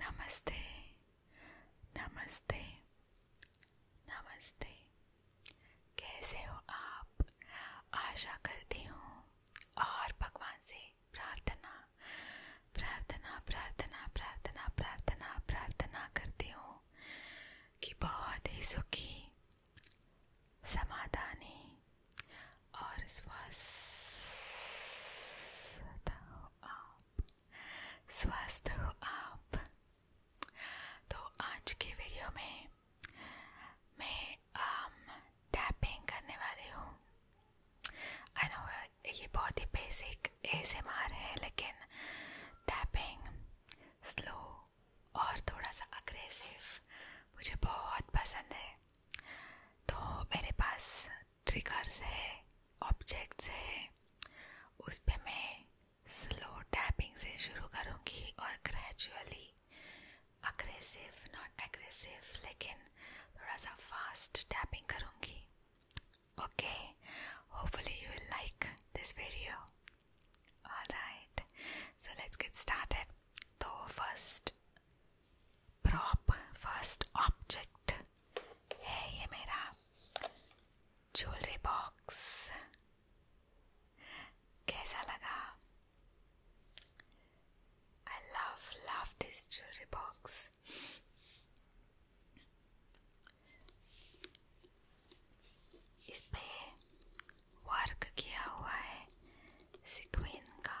नमस्ते नमस्ते नमस्ते कैसे हो आप आशा करती हूँ और भगवान से प्रार्थना प्रार्थना प्रार्थना प्रार्थना प्रार्थना प्रार्थना करती हूँ कि बहुत ही सुखी समाधानी और स्वस्थ हो आप स्वस्थ हो आप तो आज के वीडियो में मैं आम um, टैपिंग करने वाली हूँ आई नो uh, ये बहुत ही बेसिक एएसएमआर है लेकिन टैपिंग स्लो और थोड़ा सा अग्रेसिव मुझे बहुत पसंद है तो मेरे पास ट्रिकर्स है ऑब्जेक्ट्स है उस पर मैं स्लो टैपिंग से शुरू करूँगी और ग्रेजुअली अग्रेसिव नॉट एग्रेसिव लेकिन थोड़ा सा फास्ट टैपिंग करूँगी okay hopefully you will like this video alright so let's get started तो फर्स्ट प्रॉप फर्स्ट ऑब्जेक्ट है ये मेरा ज्वेलरी बॉक्स कैसा लगा I love love this jewellery box इस वर्क किया हुआ है सिक्विन का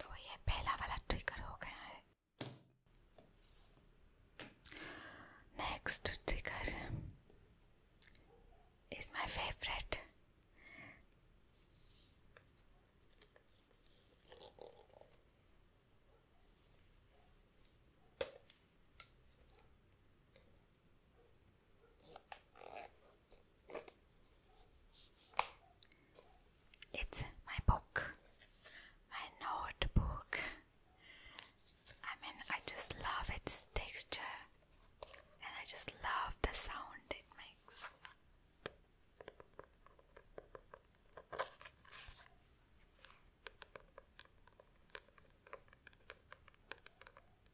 तो ये पहला वाला ट्रिगर हो गया है next trigger is my favourite It's my book, my notebook. I mean, I just love its texture and I just love the sound it makes.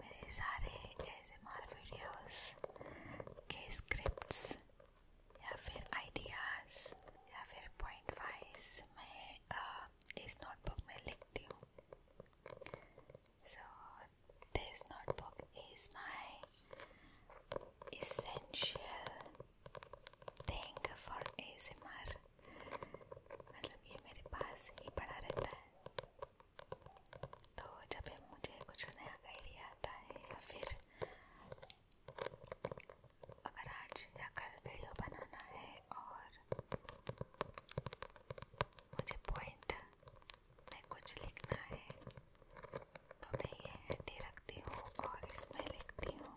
मेरे सारे एसएमआर वीडियोस के स्क्रिप्ट्स या फिर आइडियाज़ या फिर पॉइंट वाइज मैं आ, uh, इस नोटबुक में लिखती हूँ so this notebook is my essential thing for ASMR मतलब ये मेरे पास ही पड़ा रहता है तो जब मुझे कुछ नया आइडिया आता है या फिर अगर आज या कल वीडियो बनाना है और मुझे पॉइंट में कुछ लिखना है तो मैं ये हैंडी रखती हूँ और इसमें लिखती हूँ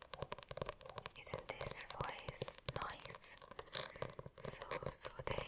Isn't this voice nice? So soothing.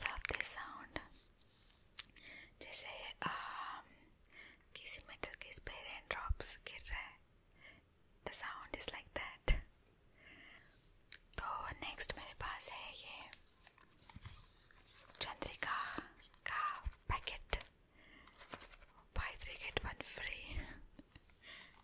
love this sound जैसे आ, किसी मेटल के इस पे रेन ड्रॉप्स गिर रहे हैं the sound is like that तो नेक्स्ट मेरे पास है ये चंद्रिका का packet buy three get one free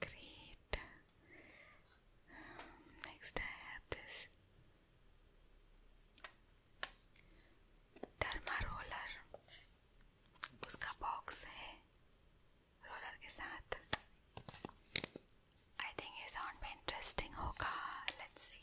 Great. Um, next, I have this derma roller उसका बॉक्स है रोलर के साथ आई थिंक ये साउंड में इंटरेस्टिंग होगा लेट्स सी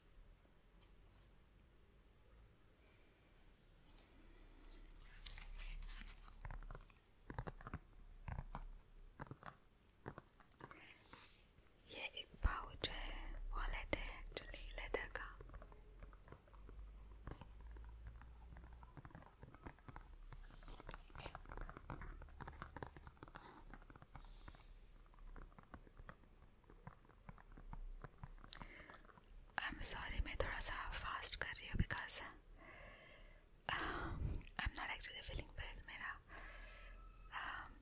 ये एक पाउच है वॉलेट है एक्चुअली लेदर का आई एम सॉरी मैं थोड़ा सा फास्ट कर रही हूँ because I am not actually feeling well मेरा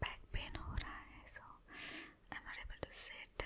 बैक um, पेन हो रहा है so I am not able to set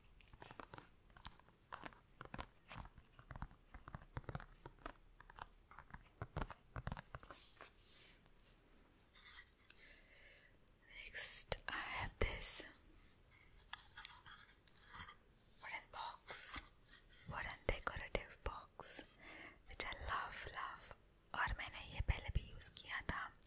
Next, I have this wooden box, wooden decorative box, which I love, love. और मैंने ये पहले भी यूज़ किया था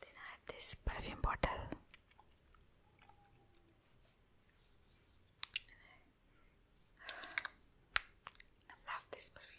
Then I have this perfume bottle. I love this perfume.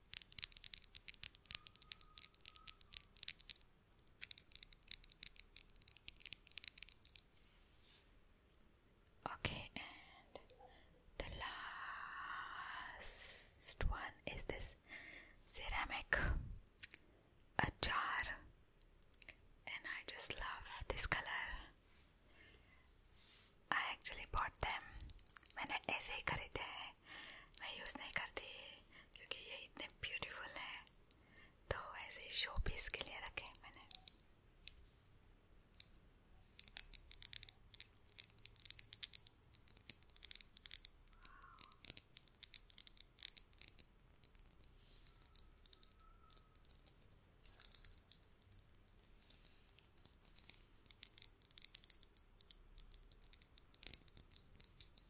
Okay, and the last one is this ceramic a jar, and I just love this color. I actually bought them. मैंने ऐसे ही खरीदे हैं मैं use नहीं करती क्योंकि ये इतने ब्यूटीफुल हैं तो ऐसे शो पीस के लिए रखे हैं मैंने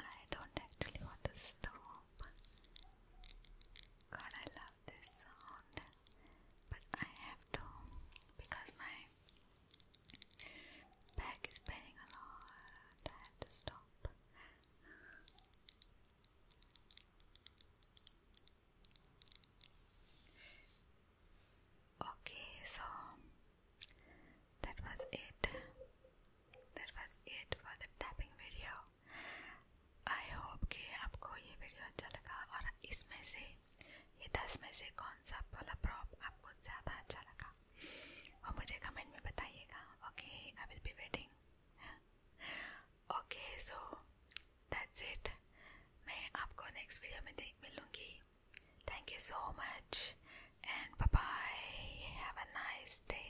I don't actually want to stop. God, I love this sound, but I have to because my back is paining a lot. I have to stop. Okay, so that was it. That was it for the tapping video. I hope कि आपको ये video अच्छा लगा और इसमें से ये दस में से कौन सा वाला प्रॉप आपको ज़्यादा अच्छा लगा वो मुझे कमेंट में बताइएगा okay I will be waiting okay so that's it मैं आपको नेक्स्ट वीडियो में देख मिलूँगी thank you so much and bye have a nice day